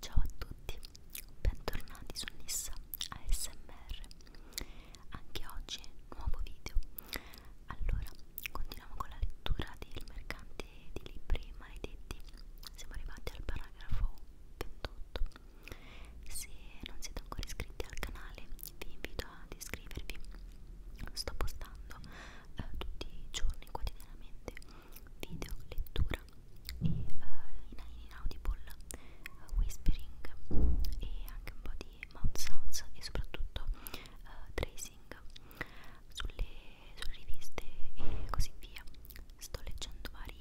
Ciao a tutti, bentornati su Nissa ASMR. Anche oggi nuovo video. Allora, continuiamo con la lettura del mercante di libri maledetti. Siamo arrivati al paragrafo 28. Se non siete ancora iscritti al canale vi invito ad iscrivervi, sto postando eh, tutti i giorni quotidianamente video, lettura e eh, in, in audible, eh, whispering e anche un po' di mouth sounds e soprattutto eh, tracing sulle, sulle riviste e così via sto leggendo vari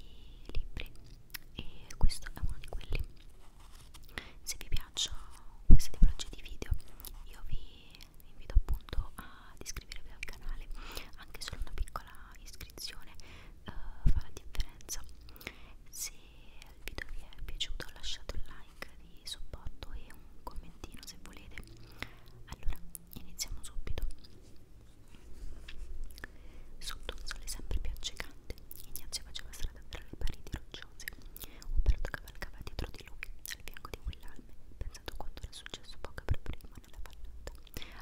libri e questo è uno di quelli se vi piacciono queste tipologie di video io vi invito appunto ad iscrivervi al canale anche solo una piccola iscrizione uh, fa la differenza se il video vi è piaciuto lasciate un like di supporto e un commentino se volete allora iniziamo subito Sotto un sole sempre più accecante, Ignazio faceva strada tra le pareti rocciose. Umberto cavalcava dietro di lui, al fianco di Willalme, pensato a quanto era successo poco per prima nella vallata.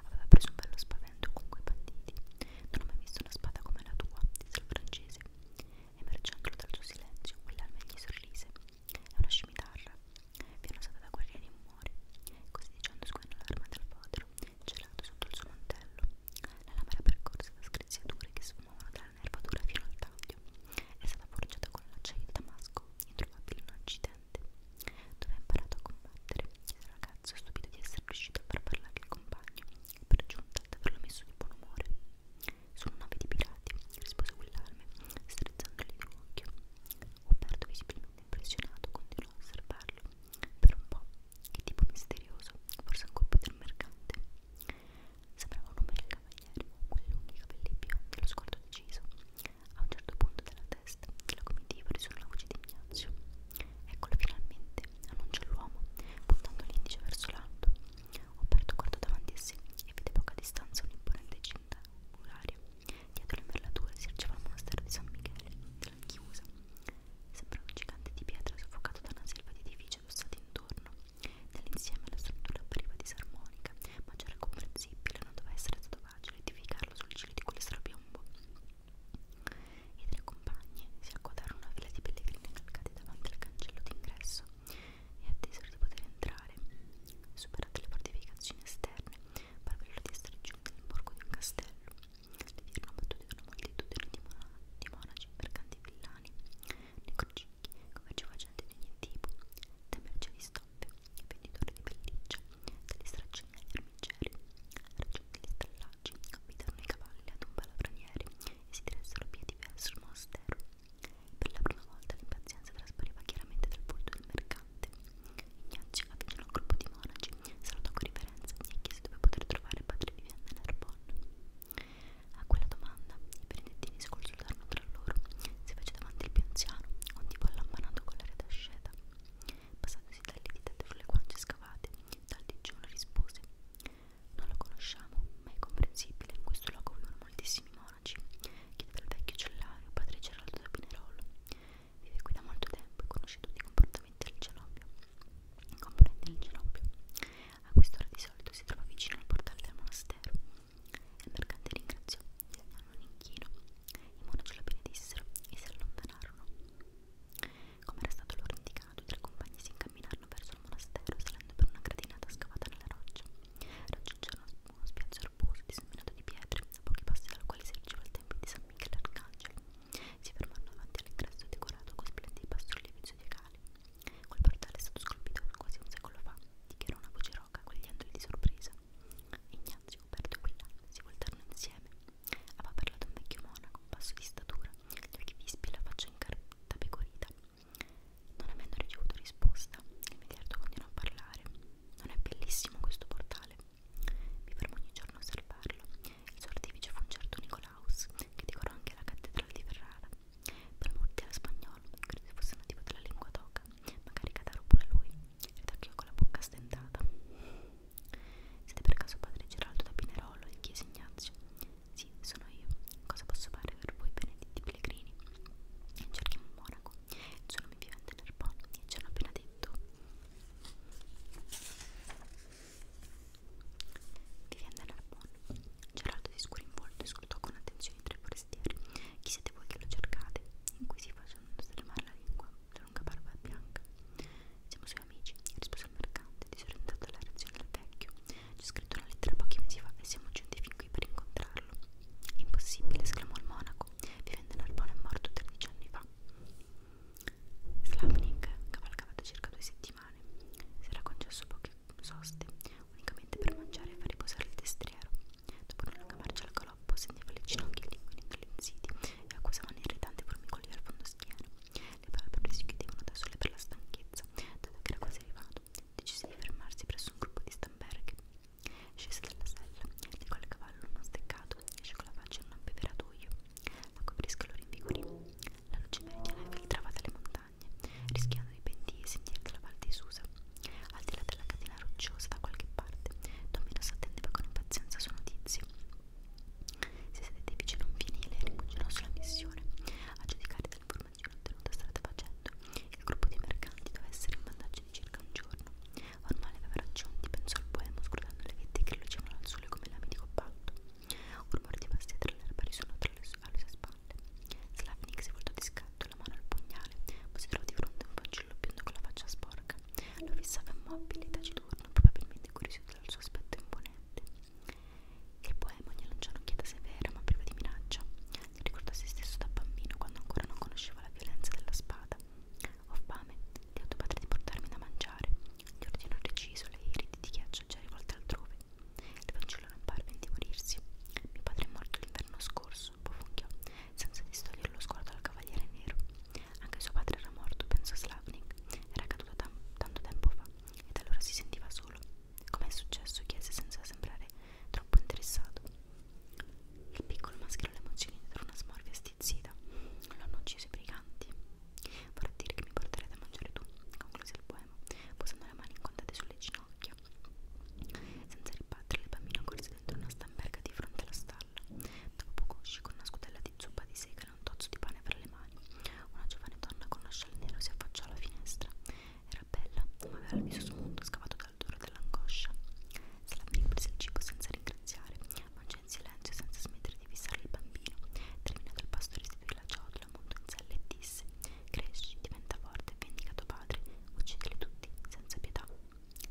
Aveva preso un bello spavento con quei banditi. Non ho mai visto una spada come la tua, disse il francese. Emergendolo dal suo silenzio, Willalme gli sorrise. È una scimitarra. Viene usata da guerrieri in muore. Così dicendo sguainò l'arma dal foto vetro, gelato sotto il suo mantello. La lama era percorsa da screziature che sfumavano dalla nervatura fino al taglio. È stata forgiata con l'acciaio di Damasco, introvabile in un accidente. Dove ha imparato a combattere? Il ragazzo è stupito di essere riuscito a far parlare il compagno e per giunta ad averlo messo di buon umore. Sono nave di pirati, rispose quell'arme, strizzandogli l'occhio. Ho perso visibilmente Impressionato, continuò a osservarlo per un po'. Che tipo misterioso, forse un compito del mercante. Sembrava un omero cavaliere, con i lunghi capelli biondi e lo sguardo deciso. A un certo punto della testa della comitiva risuona la voce di Ignazio. Eccolo finalmente, annuncia l'uomo, puntando l'indice verso l'alto. Umberto guardò davanti a sé e vide a poca distanza un'imponente cinta muraria Dietro l'imberlatura si ergeva il monastero di San Michele, della chiusa. Sembrava un gigante di pietra soffocato da una selva di edifici addossati intorno. Nell'insieme la struttura appariva disarmonica, ma c'era comprensibile, non doveva essere stato facile edificarlo sul cielo di quel strapiombo. I tre compagni si accodarono a una fila di pellegrini calcati davanti al cancello d'ingresso e attesero di poter entrare. Superate le fortificazioni esterne, interne, parvero di essere giunti nell'imborgo di un castello. Le vierono battute da una moltitudine di, mona di monaci, mercanti villani, necrocicchi, commerciofacenti di ogni tipo, da merce di stoffe, venditori di pelliccia, dagli straccioni agli armigeri, raggiunti gli stallaggi, abitarono i cavalli ad un palafraniere e si diressero via di verso il monastero. Per la prima volta l'impazienza traspariva chiaramente dal volto del mercato elegante. Ignazio avvicinò un gruppo di monaci, salutò con riverenza e chiese dove poter trovare padre Vivienne Narbonne. A quella domanda i benedettini si consultarono tra loro, si fece davanti il più anziano, un tipo allampanato con la rete asceta. Passandosi dalle dita sulle guance scavate, dal digiuno rispose Non lo conosciamo, ma è comprensibile, in questo luogo vivono moltissimi monaci. Chiedeva al vecchio cellario, padre Geraldo da Pinerolo vive qui da molto tempo e conosce tutti i comportamenti del cenobio, componenti del cenobio. A quest'ora di solito si trova vicino al portale del monastero. Il mercante ringraziò, hanno un inchino, i monaci lo benedissero e si allontanarono. Come era stato loro indicato, i tre compagni si incamminarono verso il monastero, salendo per una gradinata scavata nella roccia. Raggiungerono uno spiazzo erboso disseminato di pietre a pochi passi dal quale si ergeva il tempio di San Michele Arcangelo. Si fermarono davanti all'ingresso decorato con splendidi bassorilievi zodiacali. Quel portale è stato scolpito quasi un secolo fa, dichiarò una voce roca, cogliendoli di sorpresa. Ignazio, Roberto e Guillaume si voltarono insieme. Aveva parlato un vecchio monaco, basso di statura, gli occhi vispi e la faccia incartata pecorita. Non avendo ricevuto risposta, il miliardo continuò a parlare. Non è bellissimo questo portale? Mi fermo ogni giorno a osservarlo. Il suo artifice fu un certo Nicolaus, che decorò anche la cattedrale di Ferrara. Per molti era spagnolo, credo fosse nativo della lingua toca, magari cataro pure lui, ridacchiò con la bocca stentata. Siete per caso padre Geraldo da Pinerolo? gli chiese Ignazio. Sì, sono io. Cosa posso fare per voi, benedetti pellegrini? Cerchiamo un monaco. Il suo nome vivente Nerpon, e ci hanno appena detto dritto devi andare al buono Geraldo di scuro in volto ascoltò con attenzione i tre forestieri chi siete voi che lo cercate? inquisì facendo stremare la lingua la lunga barba bianca siamo suoi amici rispose il mercante disorientato dalla reazione del vecchio c'è scritto una lettera pochi mesi fa e siamo giunti fin qui per incontrarlo Impossibile, esclamò il monaco, vivendo in Arbona è morto 13 anni fa. Slavnik, cavalcato circa due settimane, si era concesso poche soste, unicamente per mangiare e far riposare il destriero. Dopo una lunga marcia al galoppo, sentiva le ginocchia linguinando all'inziti e accusava un irritante formicolio al fondo schiena. Le palpebre si chiudevano da sole per la stanchezza, dato che era quasi arrivato. Decise di fermarsi presso un gruppo di Stamberg Scese dalla sella, legò il cavallo uno steccato e asciugò la faccia in un abbeveratoio. La coprisca lo rinvigorì. La luce meridiana filtrava dalle montagne, rischiando di pentire sentieri della Val di Susa. Al di là della catena rocciosa da qualche parte, Dominos attendeva con impazienza sue notizie. Si sedette vicino a un fienile e rimuginò sulla missione. A giudicare dalle informazioni ottenute strada facendo, il gruppo di mercanti doveva essere in vantaggio di circa un giorno. Ormai le aveva raggiunti, pensò il poema scrutando le vette che lucevano al sole come lame di cobalto. Un rumore di vasti tra l'erba risuonò tra le sue, alle sue spalle. Slavnik si voltò di scatto, la mano al pugnale, poi si trovò di fronte a un fanciullo biondo con la faccia sporca. Lo fissava immobile, taciturno, probabilmente curioso dal suo aspetto imponente. Il poema gli lanciò un'occhiata severa ma priva di minaccia si ricorda se stesso da bambino quando ancora non conosceva la violenza della spada. Ho fame, ti ho tuo padre di portarmi da mangiare, gli ordinò reciso le iridi di ghiaccio già rivolte altrove. Il fanciullo non parve indimorirsi. Mio padre è morto l'inverno scorso, bofonchiò, senza distogliere lo sguardo al cavaliere nero. Anche suo padre era morto, pensò Slavnik, era caduto tam tanto tempo fa, ed allora si sentiva solo. Com'è successo? chiese senza sembrare troppo interessato. Il piccolo maschero lemoncini dentro una smorfia stizzita. L'hanno ucciso i briganti. Vorrà dire che mi porterai da mangiare tu, concluse il poema, posando le mani incontate sulle ginocchia. Senza ribattere, il bambino corse dentro una stamberga di fronte alla stalla. Dopo poco uscì con una scudella di zuppa di sega e un tozzo di pane fra le mani. Una giovane donna con uno scialle nero si affacciò alla finestra. Era bella, ma aveva il viso smunto, scavato dal duro dell'angoscia. Slapping prese il cibo senza ringraziare, mangiò in silenzio senza smettere di fissare il bambino. Terminato il pasto restituì la ciotola, montò in sella e disse Cresci, diventa forte e vendica tuo padre, uccidili tutti, senza pietà.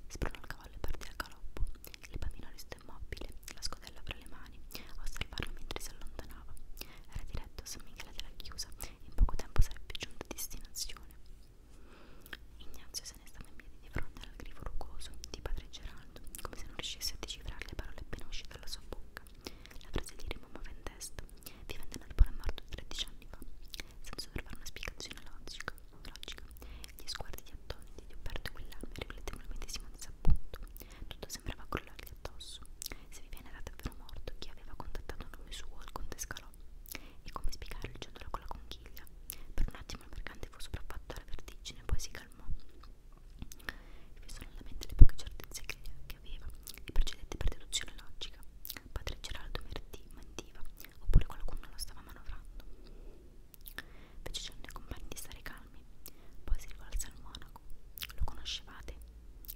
Spronò il cavallo e partì al galoppo. Il bambino restò immobile, la scodella fra le mani, a osservarlo mentre si allontanava. Era diretto a San Michele della Chiusa e in poco tempo sarebbe giunto a destinazione. Ignazio se ne stava in piedi di fronte al grifo rugoso di padre Geraldo, come se non riuscisse a decifrare le parole appena uscite dalla sua bocca. La frase di Remo Movendest, vivendo nel polo morto 13 anni fa, senza trovare una spiegazione logica. logica. Gli sguardi di attoniti di Umberto Guillaume riflettevano il medesimo disappunto. Tutto sembrava crollargli addosso. Se Viviani era davvero morto, chi aveva contattato nome suo al conte ciondolo. E come spiegare il ciondolo con la conchiglia? Per un attimo il mercante fu sopraffatto alla vertigine, poi si calmò. Fissò nella mente le poche certezze che, che aveva e procedette per deduzione logica. Padre Geraldo mentiva, oppure qualcuno lo stava manovrando. Fece cenno ai compagni di stare calmi, poi si rivolse al monaco. Lo conoscevate?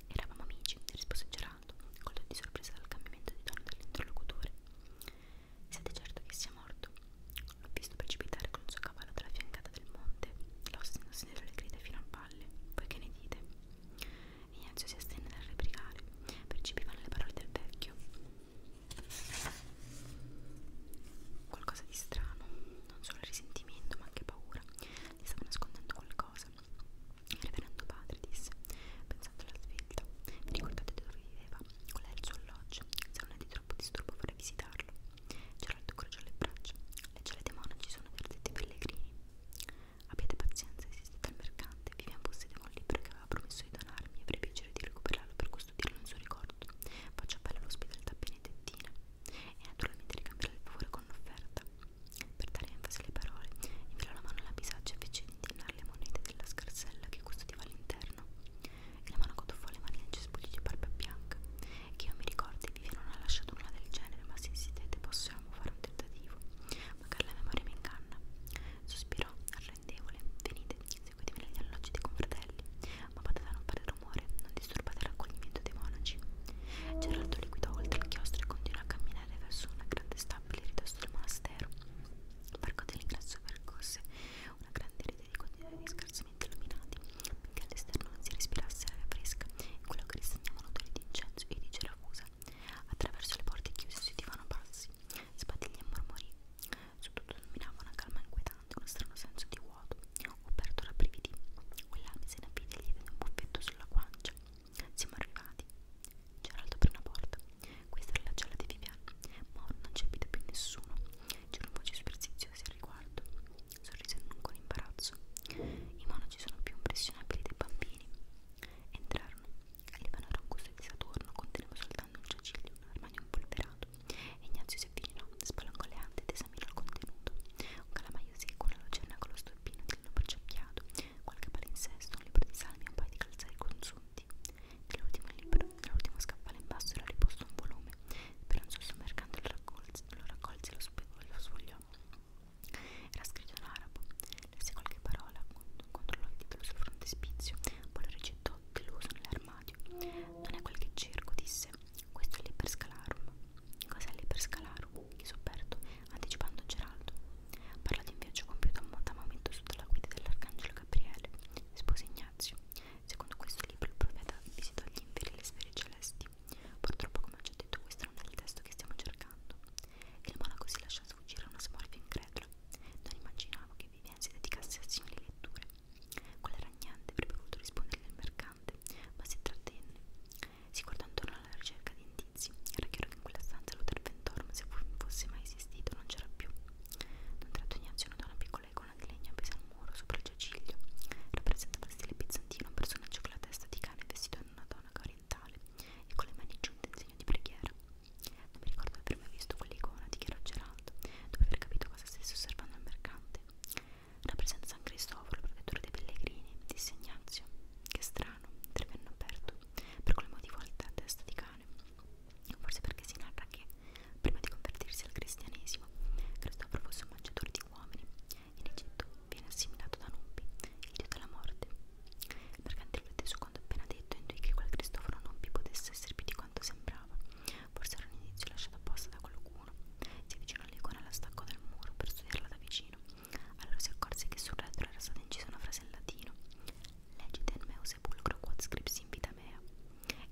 Eravamo amici, rispose Geraldo scatenato, colto di sorpresa dal cambiamento di tono dell'interlocutore. Siete certo che sia morto? L'ho visto precipitare con il suo cavallo dalla fiancata del monte, l'ostendosi dietro le grida fino al valle. Voi che ne dite? Ignazio si astenne dal replicare, percepivano le parole del vecchio. Qualcosa di strano, non solo risentimento ma anche paura, gli stava nascondendo qualcosa. Il reverendo padre disse, pensando alla svelta, vi ricordate dove viveva? Qual è il suo alloggio? Se non è di troppo disturbo vorrei visitarlo. Geraldo crociò le braccia. Le gelate monaci sono verdetti pellegrini. Abbiate pazienza, esiste dal mercante. Vivian possedeva un libro che aveva promesso di donarmi e avrei piacere di recuperarlo per custodirlo in suo ricordo. Faccio appello all'ospitalità benedettina e naturalmente ricambierò il favore con l'offerta. Per dare enfasi alle parole, infilò la mano alla bisaccia e fece indinare le monete della scarsella che custodiva all'interno. E la mano cotuffò le mani nel cespuglio di barba bianca. Che io mi ricordi, Vivian non ha lasciato nulla del genere, ma se esitete possiamo fare un tentativo. Magari la memoria mi inganna. Sospirò, arrendevole. Venite, seguitemi negli alloggi dei confratelli. Ma poteva non fare rumore, non disturbate il raccoglimento dei monaci. Gerardo liquidò oltre il chiostro e continuò a camminare verso una grande stabili ridosso del monastero. Il parco dell'ingresso percorse una grande rete di corridoi scarsamente illuminati, finché all'esterno non si respirasse aria fresca e quello che ristagnavano odori di incenso e di cerafusa. Attraverso le porte chiuse si udivano passi, sbadigli e mormori. Su tutto dominava una calma inquietante, uno strano senso di vuoto. Ho aperto la brividi. Quell'ami se ne avvide lieve di un buffetto sulla guancia. Siamo arrivati. Geraldo aprì una porta. Questa era la cella di Vivian, ma ora non c'è più nessuno. C'erano voci superstiziose al riguardo. Sorrise non con imbarazzo. I monaci sono più impressionabili dei bambini. Entrarono. L'Ivano era un gusto di Saturno, conteneva soltanto un giaciglio, un armadio impolverato. E Ignazio si avvicinò, spalancò le ante ed esaminò il contenuto. Un calamaio secco, una lucerna con lo stolpino di lino perciappiato, qualche palinsesto, un libro di salmi e un paio di calzari consunti. Nell'ultimo nell scaffale in basso era riposto un volume, speranzoso mercante lo raccolse, lo raccolse e lo sfogliò. Era scritto in arabo, lesse qualche parola, controllò il titolo sul frontespizio, poi lo rigettò deluso nell'armadio. Non è quel che cerco, disse. Questo è l'Iperscalarum. Cos'è l'Iperscalarum? chiese Roberto, anticipando Geraldo. Parlò di un viaggio compiuto a Maometto sotto la guida dell'arcangelo Gabriele, rispose Ignazio. Secondo questo libro il profeta visitò gli inferi e le sfere celesti. Purtroppo, come ho già detto, questo non è il testo che stiamo cercando. Il monaco si lasciò sfuggire a una smorfia incredula. Non immaginavo che Vivian si dedicasse a simili letture. Quella ragnante avrebbe voluto rispondere al mercante, ma si trattenne. Si guardò intorno alla ricerca di indizi. Era chiaro che in quella stanza Luther Ventorm, se fosse mai esistito, non c'era più. D'un tratto Ignazio notò una piccola icona di legno appesa al muro sopra il giaciglio. Rappresentava in stile bizantino un personaggio con la testa di cane vestito in una tonaca orientale e con le mani giunte in segno di preghiera. Non mi ricordo di aver mai visto quell'icona, dichiarò Geraldo, dopo aver capito cosa stesse osservando il mercante. Rappresenta San Cristoforo, protettore dei pellegrini, disse Ignazio. Che strano, trevenne aperto. Per quel motivo il testa di cane, forse perché si narra che, prima di convertirsi al cristianesimo, Cristoforo fosse un mangiatore di uomini. In Egitto viene assimilato da Nubi, il dio della morte. Il mercante teso quanto appena detto intuì che quel Cristoforo Nubi potesse essere più di quanto sembrava. Forse era un inizio lasciato apposta da qualcuno. Si avvicinò all'icona alla stacco del muro per studiarla da vicino allora si accorse che sul retro era stata incisa una frase in latino: Legidem meu sepulcro quod scripsi in vita mea.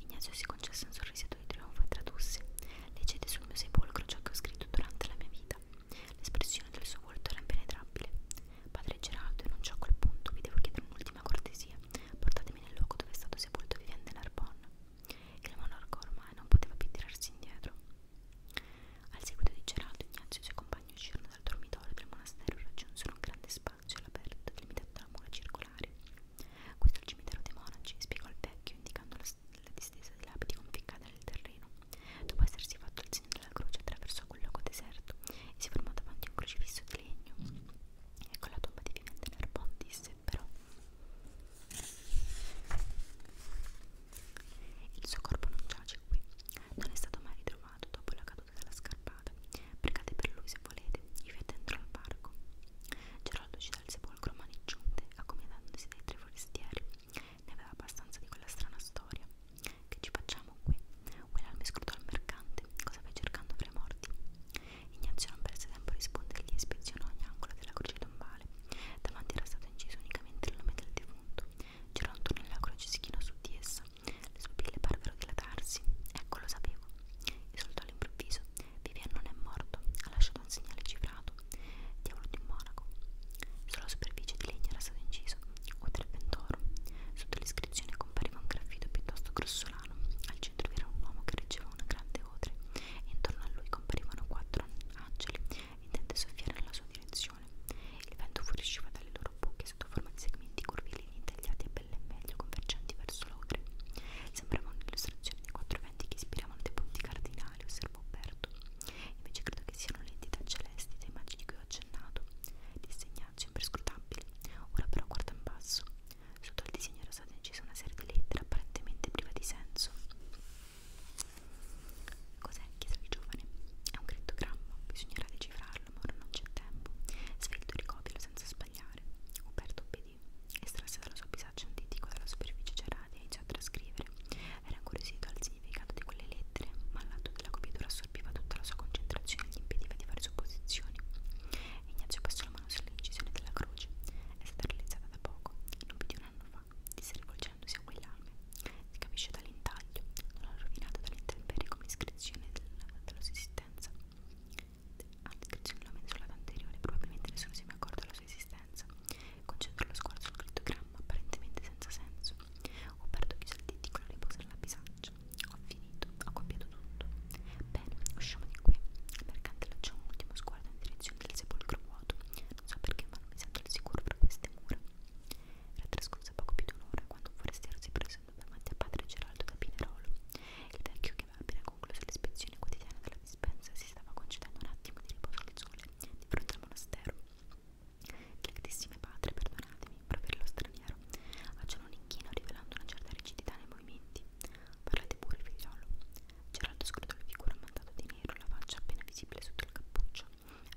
Ignazio si concesse un sorrisetto di trionfo e tradusse: Leggete sul mio sepolcro ciò che ho scritto durante la mia vita. L'espressione del suo volto era impenetrabile. Padre Geraldo, enunciò a quel punto: Vi devo chiedere un'ultima cortesia. Portatemi nel luogo dove è stato sepolto Vivian de Narbonne. Il monarca ormai non poteva più tirarsi indietro. Al seguito di Geraldo, Ignazio e i suoi compagni uscirono dal dormitorio del monastero e raggiunsero un grande spazio all'aperto delimitato da mura circolari. Questo è il cimitero dei monaci, spiegò il vecchio, indicando la, la distesa di lapidi conficcata nel terreno. Dopo essersi fatto il segno della croce, attraversò quel luogo deserto e si fermò davanti a un crocifisso di legno. Ecco la tomba di Vivente Narbon, disse però. Il suo corpo non giace qui, non è stato mai ritrovato dopo la caduta della scarpata. Pregate per lui se volete, i fete entrò al parco. Geraldo uscì dal sepolcro mani giunte, accomodandosi dai tre forestieri. Ne aveva abbastanza di quella strana storia. Che ci facciamo qui? Wellalme scrutò il mercante. Cosa vai cercando fra i morti? Ignazio non perse tempo a rispondergli e ispezionò ogni angolo della croce tombale. Davanti era stato inciso unicamente il nome del defunto c'era un tunnel lacrice schieno su di essa. Le sue pille parvero dilatarsi. Ecco, lo sapevo. E soltanto all'improvviso. Vivian non è morto. Ha lasciato un segnale cifrato. Diavolo di un monaco. Sulla superficie di legno era stato inciso. Oltre il pentoro. Sotto l'iscrizione compariva un graffito piuttosto grossolano. Al centro vi era un uomo che reggeva una grande odre. E intorno a lui comparivano quattro angeli intende soffiare nella sua direzione esplosione. Il vento fuoriusciva dalle loro bocche sotto forma di segmenti curvilini tagliati a belle e meglio convergenti verso l'ogre. Sembrava un'illustrazione dei quattro venti che ispiravano dei punti cardinali, osservò Berto. Invece credo che siano le entità celesti dei magi di cui ho accennato. Disegnaccio imperscrutabile. Ora però guarda in basso. Sotto il disegno era stata incisa una serie di lettere apparentemente priva di senso. Cos'è? chiese il giovane. È un crittogramma, bisognerà decifrarlo, ma ora non c'è tempo. Svelto ricopialo senza sbagliare. Uberto obbedì, estrasse dalla sua bisaccia un ditico dalla superficie cerata e iniziò a trascrivere. Era incuriosito al significato di quelle lettere, ma l'atto della copiatura assorbiva tutta la sua concentrazione e gli impediva di fare supposizioni. Ignazio passò la mano sull'incisione della croce. È stata realizzata da poco, non più di un anno fa diceva, disse rivolgendosi a quell'alme. Si capisce dall'intaglio, non è rovinata dall'intemperie come iscrizione del, della sua esistenza. All'iscrizione della mensolata anteriore probabilmente nessuno si è mai accorto della sua esistenza. Concentro lo sguardo sul crittogramma, apparentemente senza senso. Ho perduto chi saltiti con la riposa nella bisaccia. Ho finito, ho compiuto tutto. Bene, usciamo di qui. Il mercante lanciò un ultimo sguardo in direzione del sepolcro vuoto non so perché ma non mi sento al sicuro tra queste mura. Era trascorsa poco più di un'ora quando un forestiero si presentò davanti a padre Geraldo da Pinerolo. Il vecchio che aveva appena concluso l'ispezione quotidiana della dispensa si stava concedendo un attimo di riposo al sole di fronte al monastero. Gratissime padre, perdonatemi, proferì lo straniero, facendo un inchino rivelando una certa rigidità nei movimenti. Parlate pure, figliolo. Geraldo scrutò la figura ammantata di nero, la faccia appena visibile sotto il cappuccio.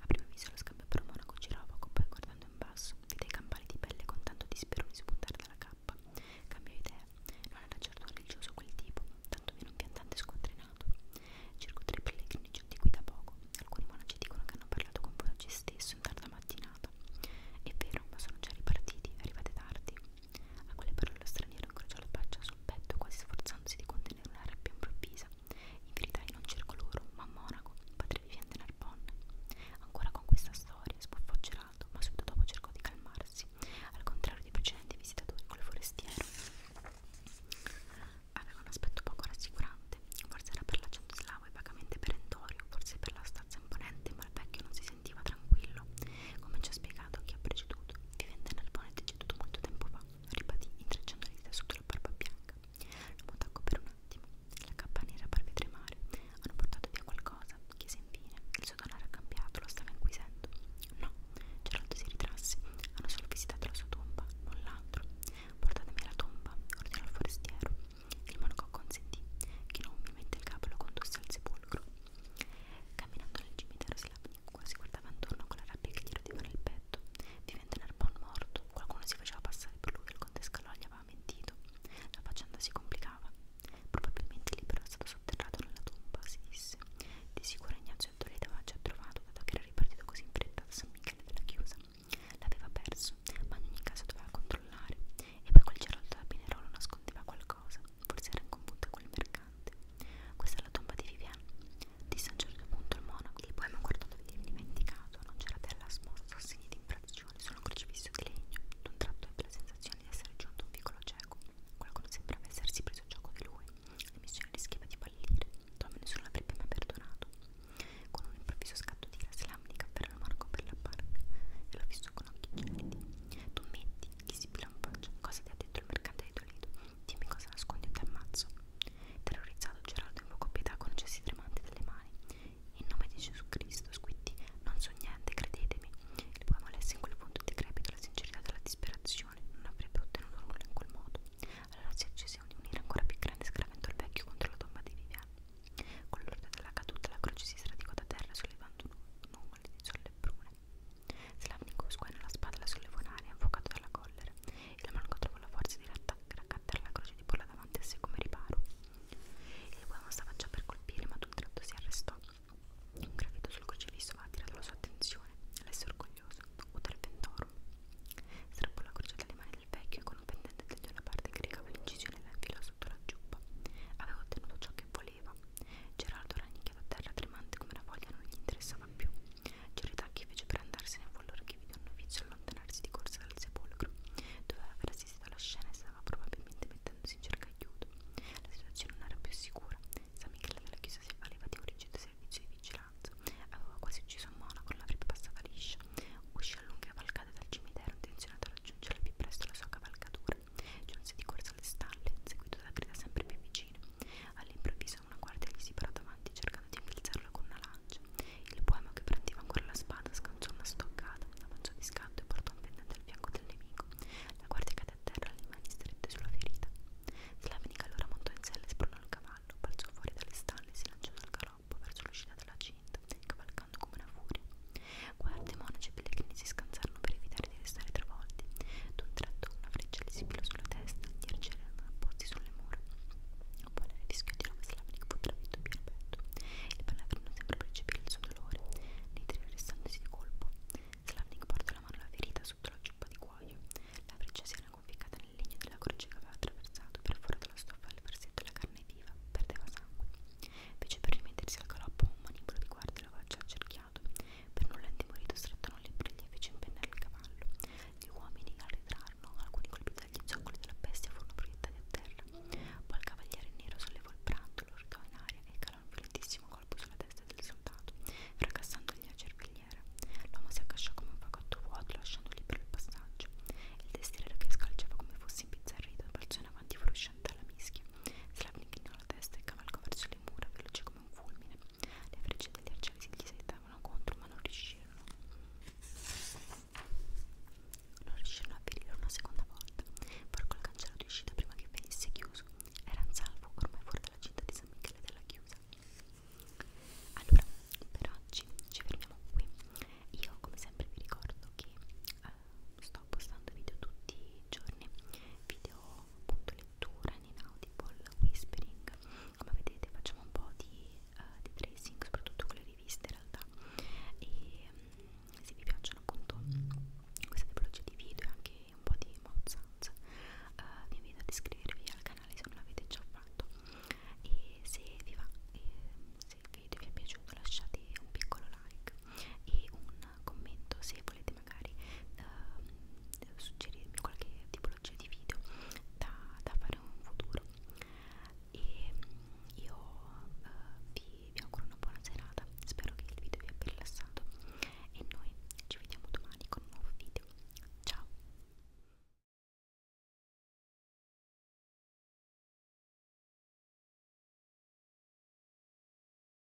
A primo viso lo scambio per monaco girava poco, poi guardando in basso, vide i campali di pelle con tanto dispero di spuntare dalla cappa. Cambiò idea, non era certo religioso quel tipo, tanto meno un piantante squattrinato. Circo tre pellegrini giunti qui da poco. Alcuni monaci dicono che hanno parlato con Bonaci stesso in tarda mattinata. È vero, ma sono già ripartiti, arrivate tardi. A quelle parole lo straniero incrociò la faccia sul petto quasi sforzandosi di contenere una rabbia improvvisa. Infiltrai in un circo loro, ma a Monaco, padre vivente nel Pon. Ancora con questa storia sbuffò Geraldo, ma subito dopo cercò di calmarsi, al contrario dei precedenti visitatori col forestiero. Aveva un aspetto poco rassicurante, forse era per l'accento slavo e vagamente perentorio, forse per la stazza imponente, ma il vecchio non si sentiva tranquillo, come ci ha spiegato chi ha preceduto, vivente nel Pon è deceduto molto tempo fa ribadì intrecciando le dita sotto la barba bianca. L'uomo tacco per un attimo. La cappa nera parve tremare. Hanno portato via qualcosa, chiese infine. Il suo donario ha cambiato, lo stava inquisendo. No, Geraldo si ritrasse. Hanno solo visitato la sua tomba, null'altro. Portatemi alla tomba, ordinò il forestiero. Il monaco consentì. Chinò umilmente il capo e lo condusse al sepolcro. Camminando nel cimitero si quando si guardava intorno con la rabbia che gli rodeva nel petto, divenne Narbon morto, qualcuno si faceva passare per lui che il conte Scalò gli aveva mentito. La faccenda si complicava. Probabilmente Libero era stato sotterrato nella tomba, si disse. Di sicuro Ignazio Antonelli aveva già trovato, dato che era ripartito così in fretta da San Michele della Chiusa. L'aveva perso, ma in ogni caso doveva controllare. E poi quel Geraldo da Pinerolo nascondeva qualcosa, forse era in conflitto col mercato importante. Questa è la tomba di Vivienne, disse a un certo punto il monaco. Il poema guardato via dimenticato, non c'era perla smorza o segni di infrazione, solo un crocifisso di legno. D'un tratto ebbe la sensazione di essere giunto a un piccolo cieco. Qualcuno sembrava essersi preso gioco di lui. La missione rischiava di fallire. Tommy nessuno l'avrebbe mai perdonato. Con un improvviso scatto di ira, Slamnica afferrò il monaco per la barca e lo fissò con occhi gelidi. Tu metti, gli sibilò in faccia, cosa ti ha detto il mercante di Toledo? Dimmi cosa nascondi in tal mazzo. Terrorizzato, Geraldo invocò pietà con gesti tremanti delle mani. In nome di Gesù Cristo, squitti, non so niente, credetemi. Il poema lesse in quel punto decrepito la sincerità della disperazione. Non avrebbe ottenuto nulla in quel modo. Allora si accese di unire ancora più grande scaravento al vecchio contro la tomba di Vivian. Con l'ordine della caduta, la croce si sradicò da terra sollevando nuvole di sole brune. Slavnikov squainò la spada e la sollevò in aria, infuocato dalla collera, e la manco trovò la forza di raccattare la croce e di porla davanti a sé come riparo. Il uomo stava già per colpire, ma d'un tratto si arrestò. Un graffito sul crocifisso aveva attirato la sua attenzione, lesse orgoglioso, uter ventorum. Strappò la croce dalle mani del vecchio e con un pendente tagliò la parte che recava l'incisione e la infilò sotto la giubba. Aveva ottenuto ciò che voleva, Gerardo Ragni che la terra tremante come la voglia non gli interessava più. Giordacchi fece per andarsene a Vollore che vide un novizio allontanarsi di corsa dal sepolcro. Doveva aver assistito alla scena e stava probabilmente mettendosi in cerca aiuto. La situazione non era più sicura. San Michele della Chiesa si avvaleva di un rigido servizio di vigilanza. Aveva quasi ucciso un monaco, l'avrebbe passata liscia. Uscì a lunghe cavalcate dal cimitero, intenzionato a raggiungere più presto la sua cavalcatura. Giunse di corsa alle stalle, seguito da grida sempre più vicine. All'improvviso una guardia gli si parò davanti cercando di infilzarlo con una lancia. Il poema che prendeva ancora la spada scanciò una stoccata, la mangiò di scatto e portò un pendente al fianco del nemico. La guardia cadde a terra, le mani strette sulla ferita. Slavenica allora montò in sella e spronò il cavallo, balzò fuori dalle stalle e si lanciò dal galoppo verso l'uscita della cinta, cavalcando come una furia. Guardie, monaci e pellegrini si scansarono per evitare cercare di restare travolti. D'un tratto una freccia gli si pilò sulla testa, gli arcieri erano apposti sulle mura. Un po' nel rischio di Roma Slavnik fu trafitto più al petto. Il palavrino sembra percepire il suo dolore, nei tre arrestandosi di colpo. Slavnik portò la mano alla ferita sotto la ciuppa di cuoio. La freccia si era conficcata nel legno della croce che aveva attraversato, perforata la stoffa al versetto la carne viva, perdeva sangue. Fece per rimettersi al galoppo un manipolo di guardia e lo faccia accerchiato occhiato. Per nulla intimorito strettano le briglie e fece impennare il cavallo. Gli uomini al ritrarno, alcuni colpiti dagli zoccoli della bestia furono proiettati a terra. Poi il cavaliere nero sollevò il brandolo, urcò in aria e calò un violentissimo colpo sulla testa del soldato, fracassandogli la cervigliera. L'uomo si accasciò come un fagotto vuoto, lasciando libero il passaggio. Il testiere che scalciava come fosse impizzarrito balzò in avanti fuoriuscente alla mischia. Slavnik la testa e cavalcò verso le mura, veloce come un fulmine. Le frecce degli arcieri si gli settavano contro, ma non riuscirono. Non riuscirono a aprirlo una seconda volta. Porco il cancello di uscita prima che venisse chiuso. Era in salvo, ormai fuori dalla città di San Michele della Chiusa. Allora, per oggi ci fermiamo qui. Io, come sempre, vi ricordo che eh, sto postando video tutti i giorni, video appunto le lettura in Inaudible, Whispering, come vedete facciamo un po' di, uh, di tracing, soprattutto con le riviste in realtà e um, se vi piacciono appunto queste tipologie di video e anche un po' di mouth eh, sounds uh, vi invito ad iscrivervi al canale se non l'avete già fatto e se vi va, e se il video vi è piaciuto lasciate un piccolo like e un commento se volete magari eh, suggerirmi qualche tipologia di video da, da fare in un futuro e io eh, vi, vi auguro una buona serata spero che il video vi abbia rilassato e noi ci vediamo domani con un nuovo video ciao